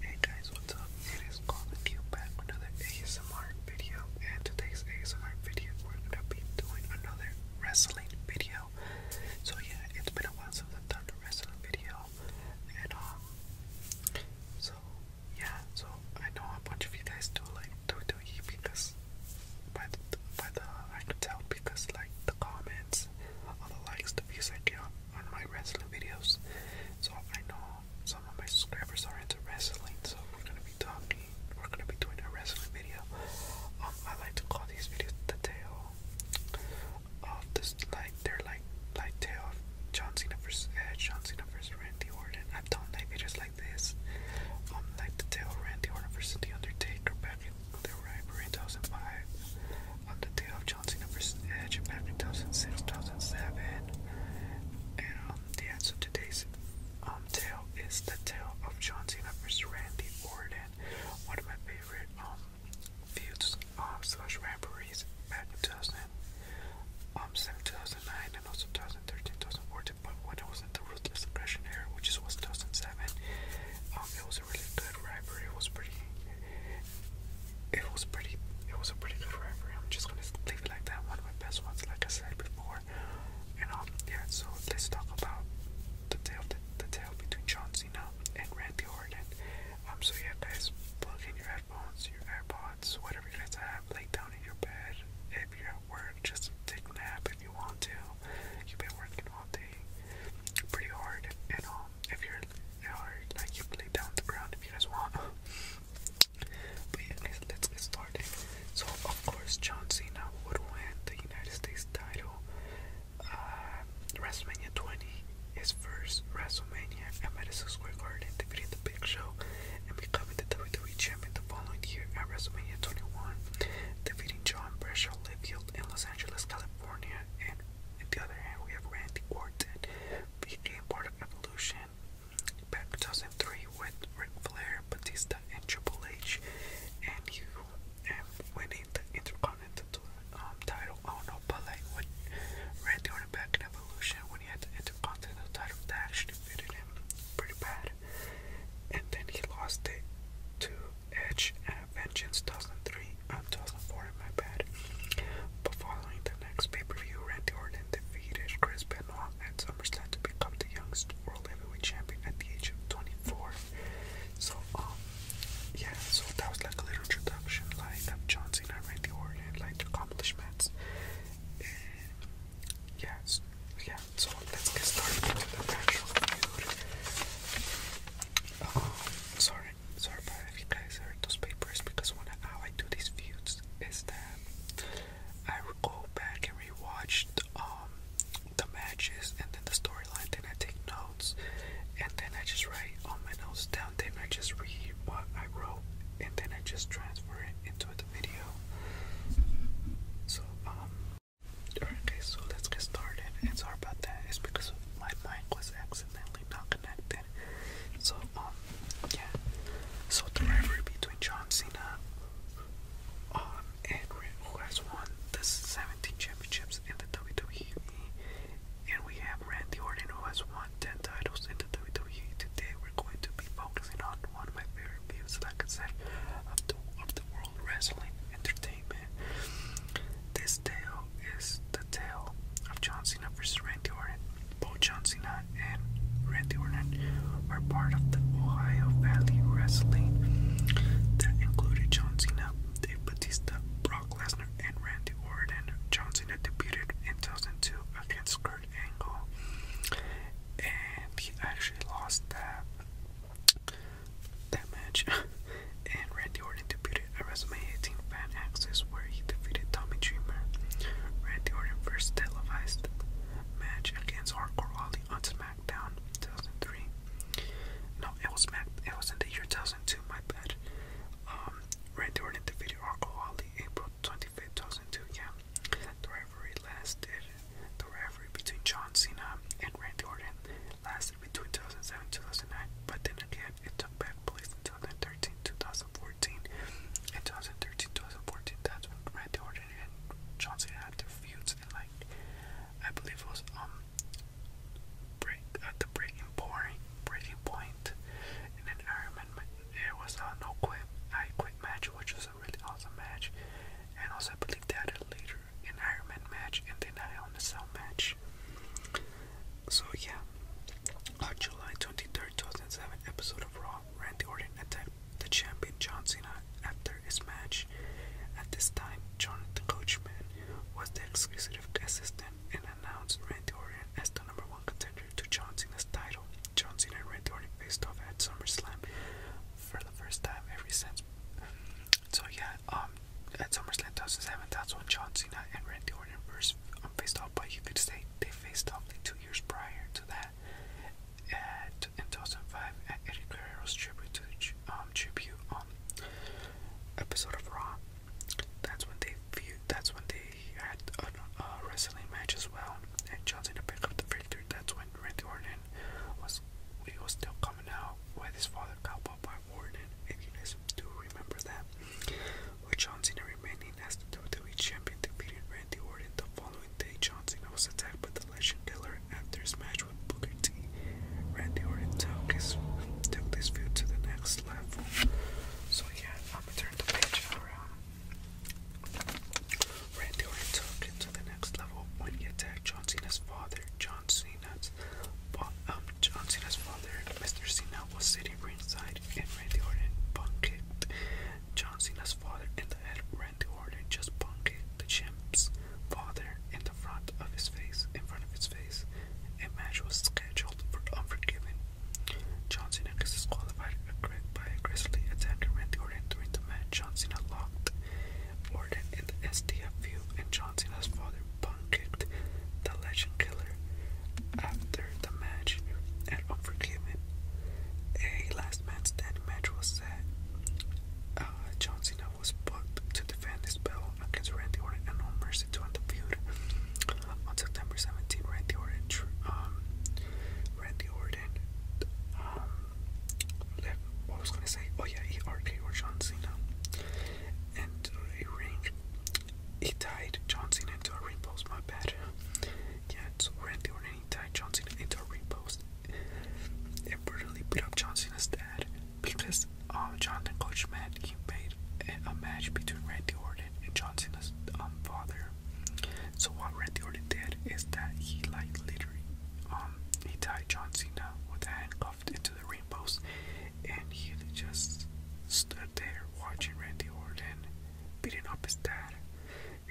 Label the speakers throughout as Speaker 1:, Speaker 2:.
Speaker 1: Hey guys, what's up? It is Golden Q back with another ASMR video. And today's ASMR video, we're gonna be doing another wrestling video. So yeah, it's been a while since I've done a wrestling video. And um, so yeah, so I know a bunch of you guys do like WWE because by the by the I can tell because like the comments, all the likes, the views I get on my wrestling videos, so I know some of my subscribers are into wrestling. So we're gonna be talking. We're gonna be doing a wrestling video. Um, I like to call these videos the tale of this. Like they're like like tale of John Cena versus Edge, John Cena versus Randy Orton. I've done like videos like this. Um, like the tale of Randy Orton versus The Undertaker back in the rivalry in 2005 the day of John Cena uh, Edge back in 2006 2007. And um, the answer today's um, tale is the tale of John Cena Randy Orton, one of my favorite um, feuds um, slash rivalries back in 2000, um, 2009, and also 2013, 2014. But when it was in the Ruthless Aggression era, which is was 2007, um, a really good rivalry. It was pretty. It was pretty. It was a pretty good rivalry. I'm just gonna leave like that. One of my best ones, like I said before. And um, yeah. So let's talk about the tale, the, the tail between John Cena and Randy Orton. Um. So yeah, guys, plug in your headphones, your AirPods, whatever you guys have. Lay down in your bed. If you're at work, just take a nap if you want to. You've been working all day, pretty hard. And um, if you're or like you play down the ground if you guys want. but yeah, let's get started. So of course, John Cena would win the United States title. Uh, WrestleMania 20, is first WrestleMania at Madison Square Garden, defeating the Big Show and becoming the WWE Champion the following year at WrestleMania 21, defeating John Brescia Livefield in Los Angeles, California, and on the other hand, we have Randy Orton, became part of Evolution back in 2003 with Ric Flair, Batista, and Triple H, and you and winning the Intercontinental um, title. I oh, don't know, but like when Randy Orton back in Evolution, when he had the Intercontinental title, that actually fitted him pretty bad. And then he lost it to Edge and Vengeance 2003, uh, 2004 in my bad. But following the next pay-per-view, Randy Orton defeated Chris Benoit at SummerSlam to become the youngest World Heavyweight Champion at the age of 24. So, um, yeah, so that was like a little introduction, like of John Randy Orton, like the accomplishments. And yeah, yeah, so let's get started into um, sorry sorry, if you guys heard those papers because one how I do these views is that I go back and rewatch um, the matches and then the storyline, then I take notes and then I just write all my notes down, then I just read what I wrote and then I just transfer it into the video. So um so let's get started and sorry about that, because my mic was accidentally not connected. So, um, yeah. So the rivalry between John Cena, um, and who has won the 17 championships in the WWE, and we have Randy Orton who has won 10 titles in the WWE. Today we're going to be focusing on one of my favorite views, like I said, of the of the world wrestling entertainment. This tale is the tale of John Cena versus Randy Orton. Both John Cena and Randy Orton were part of the Ohio Valley Wrestling that included John Cena, Dave Batista, Brock Lesnar, and Randy Orton. John Cena debuted in 2002 against Kurt Angle, and he actually lost that that match, and Randy Orton defeated at WrestleMania 18 Fan Access, where he defeated Tommy Dreamer. Randy Orton first televised match against Hardcore Ollie on SmackDown 2003. No, it was Smack. It was in the year 2002. My bad. Um, Randy Orton defeated Hardcore Ollie April 25th, 2002. Yeah, the rivalry lasted. The rivalry between John Cena and Randy Orton lasted between 2007 and 2009, but then again, it took back place in 2013, 2014, and 2013, 2014. That's when Randy Orton and John had their feud, and like I believe it was um break at the breaking point, breaking point, and then Iron Man. It was a no quit, I quit match, which was a really awesome match, and also I believe that had later Vader Iron Man match, and then a Hell in Cell match. So yeah, on July 23rd, 2007 episode of Raw, Randy Orton attacked the champion John Cena after his match. At this time, John the Coachman was the exclusive assistant and announced Randy Orton as the number one contender to John Cena's title. John Cena and Randy Orton faced off at SummerSlam for the first time ever since so yeah, um, at SummerSlam 2007, that's when John Cena and Randy Orton first um, faced off. But you could say they faced off like two years prior to that, at in 2005 at Eddie Guerrero's tribute to the um, tribute um episode of Raw. That's when they viewed. That's when they had a, uh, uh, wrestling match as well, and John Cena picked up the victory. That's when Randy Orton was he was still coming out with his father caught by Warden and Eunice. Do remember that? With John Cena remaining as the WWE champion, defeated Randy Orton the following day. John Cena was attacked by the Legend Killer after his match with Booker T. Randy Orton took his took this feud to the next level. So yeah, I'm gonna turn the page around. Randy Orton took it to the next level when he attacked John Cena's father. John Cena Cena's, um, John Cena's father, Mr. Cena, was sitting ringside, and Randy Orton punked John Cena's father and the head. Randy Orton just punked the champ's father in the front of his face, in front of his face. A match was scheduled for Unforgiven. John Cena is disqualified by aggressively attacking Randy Orton during the match. John Cena locked Warden in the STFU, and John Cena's father punk-kicked the legend killer after the match at Unforgiven. A last man standing match was set. Uh, John Cena was booked to defend his belt against Randy Orton and No Mercy to end the feud. On September 17, Randy Orton, um, Randy Orton, um, left, was gonna say? Oh yeah, he RKO John Cena and a ring. He tied Johnson into a ring post, my bad. Yeah, so Randy Orton tied John into a ring post and beat up John dad because um, Jonathan Coach Matt he made a, match between Randy Orton and John um, father. So what Randy Orton did is that he like literally um he tied John uh, with a handcuff into the rainbows, and he just stood there watching Randy Orton beating up his dad.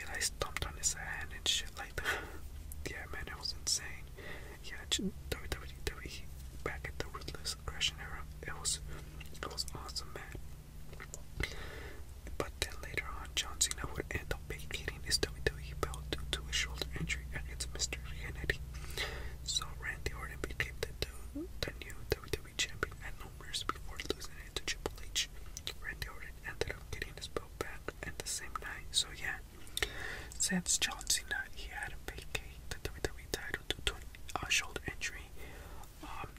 Speaker 1: And I stomped on his hand and shit like that. yeah, man, it was insane. Yeah, WWE back at the ruthless aggression era, it was it was awesome, man. But then later on, John Cena would end up baking 19, his WWE fell due to a shoulder injury against Mr. Hannity. So Randy Orton became the, the new WWE champion at no mercy before losing it to Triple H. Randy Orton ended up getting his belt back and the same night. So yeah, since John Cena, he had to vacate the WWE title due to a uh, shoulder injury. Um,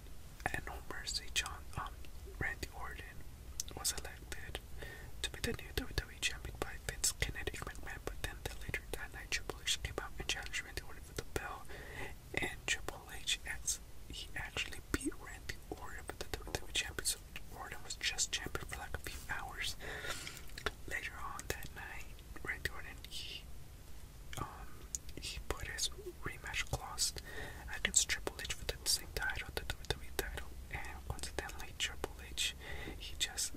Speaker 1: at no mercy, John um Randy Orton was elected to be the new WWE champion by Vince Kinetic McMahon, but then later that night Triple H came out and challenged Randy Orton for the belt, and Triple H he actually beat Randy Orton for the WWE champion, so Orton was just champion for like a few hours. Later on that night, Randy Orton he um he put his rematch clause against Triple H for the same title, the WWE title, and coincidentally Triple H he just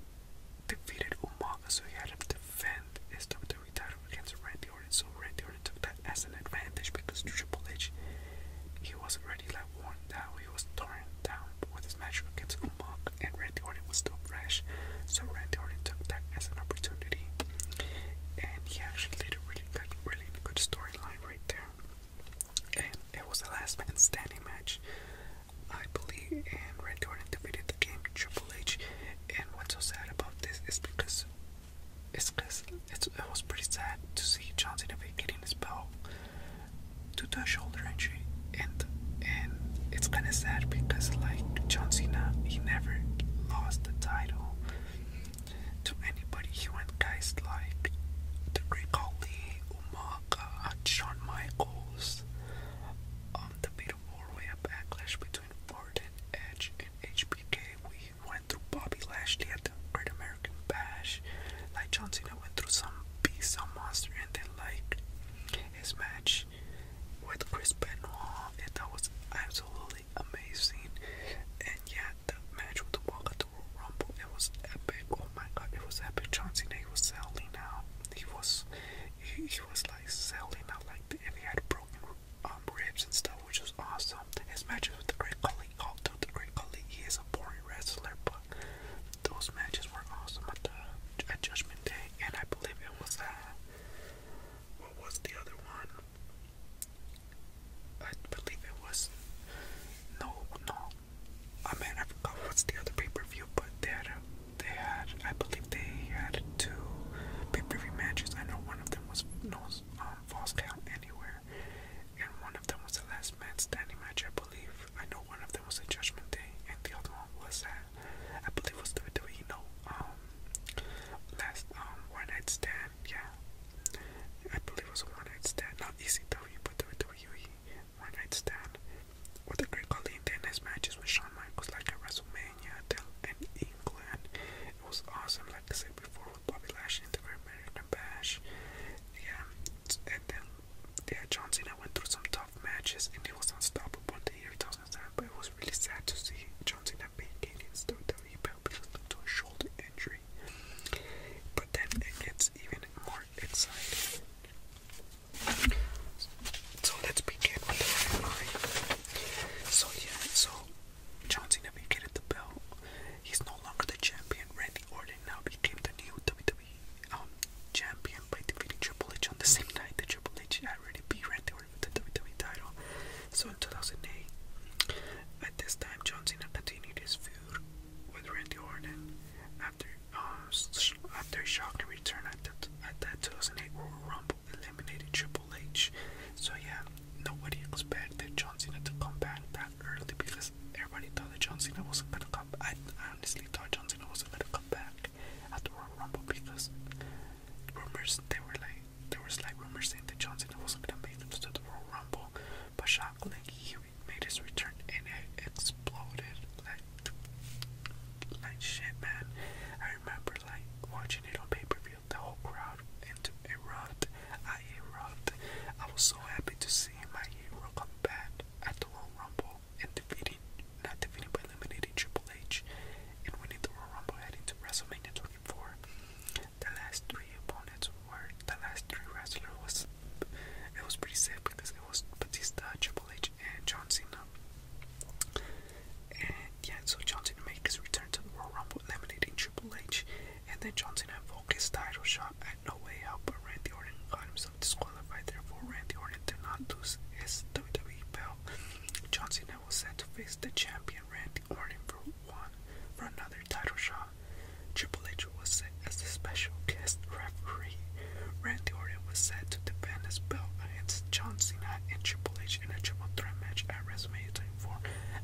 Speaker 1: defeated Umaga, so he had to defend his WWE title against Randy Orton. So Randy Orton took that as an advantage because Triple H, he was already like worn down. He was torn down with this match against Umaga, and Randy Orton was still fresh. So Randy Orton took that as an opportunity, and he actually did a really good, really good storyline right there and it was the last man standing match, I believe. And Randy Orton defeated the game Triple H. And what's so sad about this is because it's because it was pretty sad to see John Cena getting his bow due to a shoulder injury, and and it's kind of sad because like John Cena, he never lost the title to anybody. He went guys like the Great Khali, Uma, Rock, uh, Michaels, um, the Beat Way of Backlash between Orton, Edge, and HBK. We went through Bobby Lashley at the Great American Bash. Like John Cena went through some beast, some monster, and then like his match with Chris Benoit, and that was absolutely amazing. And yeah, the match with the it was epic. Oh my god, it was epic. John Cena he was selling out. He was he, was like selling out like the, he had broken um, ribs and stuff, which was awesome. His matches with the Great Khali, although the Great Khali he is a boring wrestler, but those matches were awesome at Judgment Day, and I believe it was uh what was the other one? I believe it was no no Oh man, I forgot what's the other pay-per-view, but they had, a, they had, I believe they had two pay-per-view matches. I know one of them was no um, false count anywhere, and one of them was the last man standing match, I believe. I know one of them was a Judgment Day, and the other one was that I believe was WWE. No, um, last um one night stand. Yeah, I believe it was a one night stand, not ECW, but WWE one night stand. What the great Khali did in his matches with Shawn Michaels, like at WrestleMania and England, it was awesome. Like I said before, with Bobby Lash and the Great American Bash. Yeah, and then yeah, John went through some tough matches, and he was unstoppable in the year 2007. But it was really sad to see John Cena being against WWE because of a shoulder injury. But then it gets even more part So let's begin So yeah, so John Cena the belt. He's no longer the champion. Randy Orton now became the new WWE um, champion by defeating Triple H on the same night that Triple H had Randy Orton with the WWE title. So in 2008, at this time, Johnson had continued his with Randy Orton after uh, after Shock returned at, the, at that 2008 Royal Rumble eliminated Triple H. So yeah, nobody expected John Cena to come back that early because everybody thought that John Cena wasn't gonna come. I, honestly thought John Cena wasn't gonna come back at the Royal Rumble because rumors they were like there was like rumors saying that John Cena wasn't gonna make it to the Royal Rumble, but Shock like he he made his return and it exploded like like shit, man. I remember like watching it on pay-per-view, the whole crowd and erupt. I erupted. I was so happy to see my hero come back at the Royal Rumble and defeating, not defeating, but eliminating Triple H and winning the Royal Rumble heading to WrestleMania 24. The last three opponents where the last three wrestlers was it was pretty sad because it was Batista, Triple H, and John Cena. And yeah, so John Cena made his return to the Royal Rumble, eliminating Triple H, and then John Cena invoked his title shot at No Way Out, but Randy Orton got himself disqualified. Therefore, Randy Orton did not lose his WWE belt. John Cena was set to face the champion Randy Orton for one for another another title shot. Triple H was set as the special guest referee. Randy Orton was set to defend his belt against John Cena and Triple H in a triple threat match at WrestleMania 24.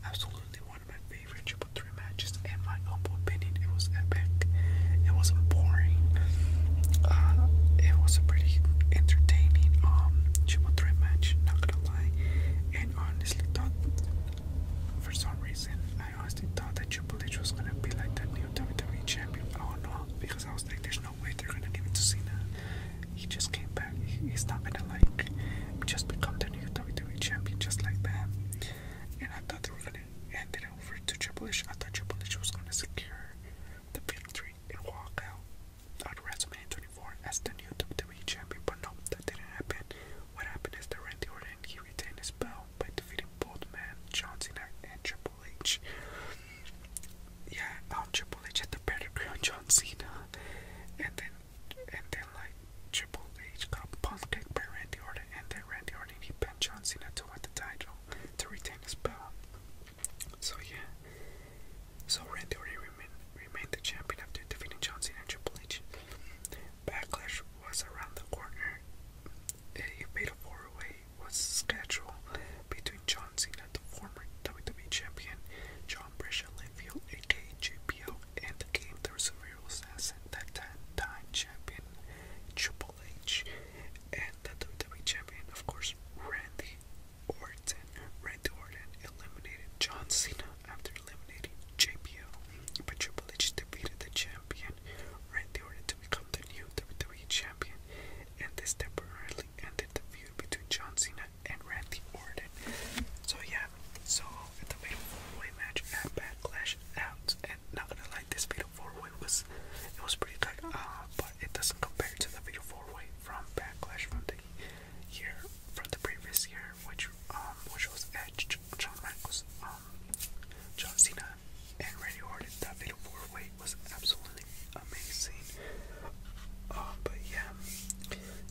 Speaker 1: Absolutely one of my favorite triple threat matches. In my humble opinion, it was epic. It wasn't boring. Uh, it was a pretty entertaining um triple threat match. Not gonna lie, and honestly, thought for some reason I I honestly thought that Triple H was gonna be like that new WWE champion. Oh no, because I was like, there's no way they're gonna give it to Cena. He just came back. he's not gonna like just become the new WWE champion just like that. And I thought they were gonna end it over to Triple H. I thought Triple H was gonna secure the victory and walk out on WrestleMania 24 as the new WWE champion, but no, that didn't happen. What happened is that Randy Orton he retained his belt by defeating both men, John Cena and Triple H. Yeah, um, Triple H had the pedigree on John Cena, and then and then like Triple H got punked by Randy Orton, and then Randy Orton he pinned John Cena to win the title to retain his belt. So yeah, so Randy Orton remained remained the champion after defeating John Cena Triple H. Backlash was around the corner. A fatal four-way was scheduled between John Cena, the former WWE champion, John Brescia Linfield, aka JPO, and the game the Survival Assassin, that time champion Triple H, and the WWE champion, of course, Randy Orton. Randy Orton eliminated John Cena after eliminating JBL, but Triple H defeated the champion Randy Orton to become the new WWE champion, and this temporarily ended the feud between John Cena and Randy Orton. So yeah, so the fatal four-way match at Backlash out, and not gonna lie, this fatal four-way was it was pretty good, Ah, but it doesn't compare to the fatal four-way from Backlash from the year from the previous year, which um, which was Edge, John Michaels, um, John Cena, and Randy Orton. That video four way was absolutely amazing. Uh, but yeah,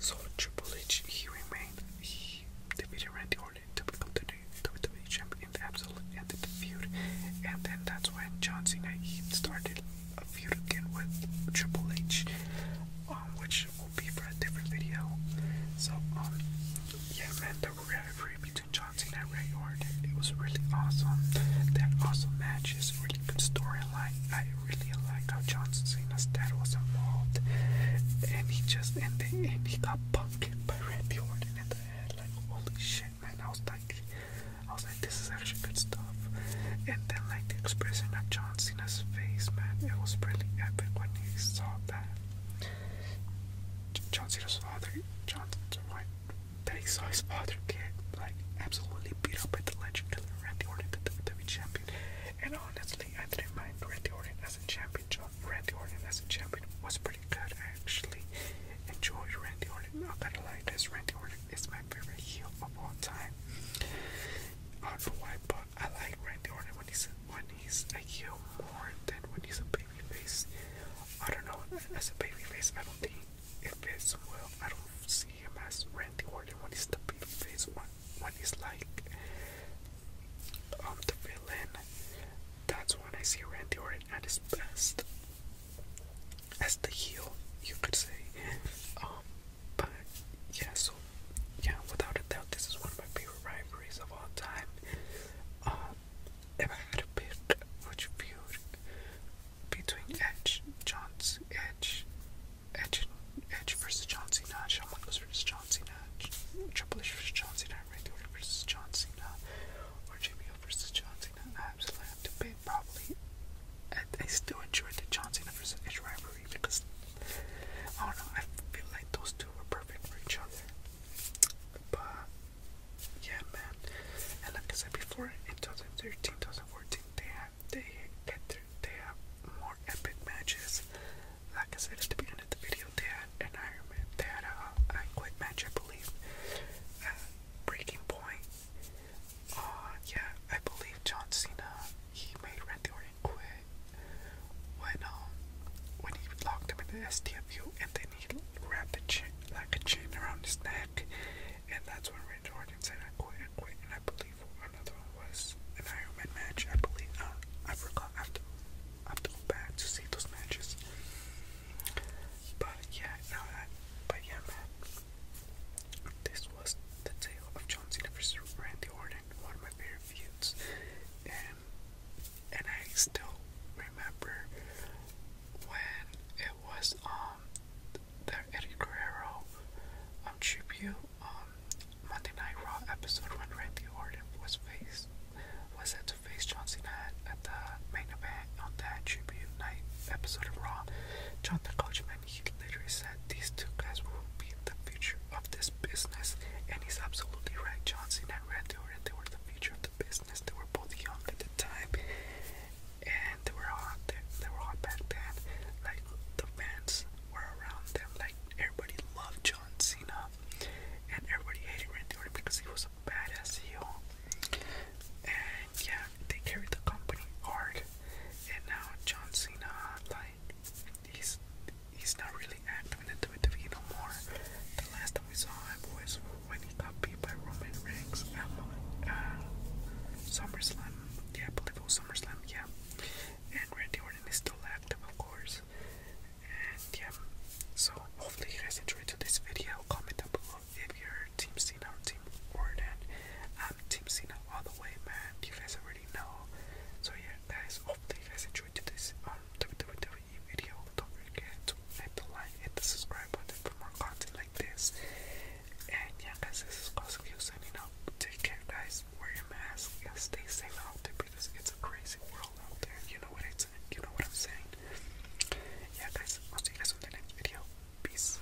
Speaker 1: so Triple H he remained. He defeated Randy Orton to become the new WWE champion. And absolutely ended the feud, and then that's when John Cena he started a feud again with Triple H, um, which will be for a different video. So, um, yeah, man, the rivalry between Johnson and Ray Orton, it was really awesome. That awesome match is really good storyline. I really like how Johnson Cena's dad was involved, and he just and, they, and he got punked by Randy Orton in the head. Like, holy shit, man! I was like, I was like, this is actually good stuff. And then like the expression of Johnson his face, man. It was really epic when he saw that. John Cena's father, John Cena, that he saw his father get like absolutely beat up by the legend, Randy Orton, the WWE champion. And honestly, I didn't mind Randy Orton as a champion. John Randy Orton as a champion was pretty good. I actually enjoyed Randy Orton. Not gonna lie, this Randy Orton is my favorite heel of all time. I don't know why, I like Randy Orton when he's when he's a heel more than when he's a baby face. I don't know. As a baby face, I don't think it fits well. I don't see him as Randy Orton when he's the baby face. When when he's like um the villain, that's when I see Randy Orton at his best. As the heel, you could say. Um, but yeah, so yeah, without a doubt, this is one of my favorite rivalries of all time. Um, if I had to pick which feud between Edge, Johnson, Edge, Edge, Edge versus John Cena, Shawn Michaels versus John Cena, Triple H versus John Cena, Randy Orton versus versus John Cena, I absolutely have to pick probably. I, still enjoyed the John Cena versus Edge rivalry because I do I feel like those two were perfect for each other. But yeah, man. And like I said before, in 2013, they have they they have more epic matches. Like I said at the beginning of the video, they had an Iron Man, they had a, a match, I believe. breaking point. Uh, yeah, I believe John Cena. He made Randy Orton when um when he locked him in the STFU and then he wrapped the chain like a chain around his neck and that's when Randy Orton said I quit I quit and I believe another one was an Iron Man match I believe uh, I forgot I have to I have to go back to see those matches but yeah now that but yeah man this was the tale of John Cena versus Randy Orton one of my favorite reviews, and and I still remember when it was um the Eddie Guerrero um tribute um Monday Night Raw episode when Randy Orton was faced was set to face John Cena at, the main event on that tribute night episode of Raw. John the Coach time, he later said these two guys will be the future of this business, and he's absolutely right. Johnson and Randy Orton, they were the future of the business. They were both young at the time, and they were hot. They, they were hot back then. Like the fans were around them. Like everybody loved John Cena, and everybody hated Randy Orton because he was a badass heel. And yeah, they carried the company hard. And now John Cena, like he's he's not really active in the WWE no more. The last time we saw him was when he got beat by Roman Reigns at uh, SummerSlam. Yeah, I believe it was SummerSlam. Yeah, and Randy Orton is still active, of course. And yeah, so hopefully you guys enjoyed this video. Comment down below if you're Team Cena or Team Orton. I'm Team Cena all the way, man. You guys already. So yeah, guys, hopefully you guys enjoyed today's um, WWE video. Don't forget to hit the like, hit the subscribe button for more content like this. And yeah, guys, this is Cosmic Hill signing up. Take care, guys. Wear your mask stay safe out there because it's a crazy world out there. You know what it's you know what I'm saying. Yeah, guys. I'll see you guys on the next video. Peace.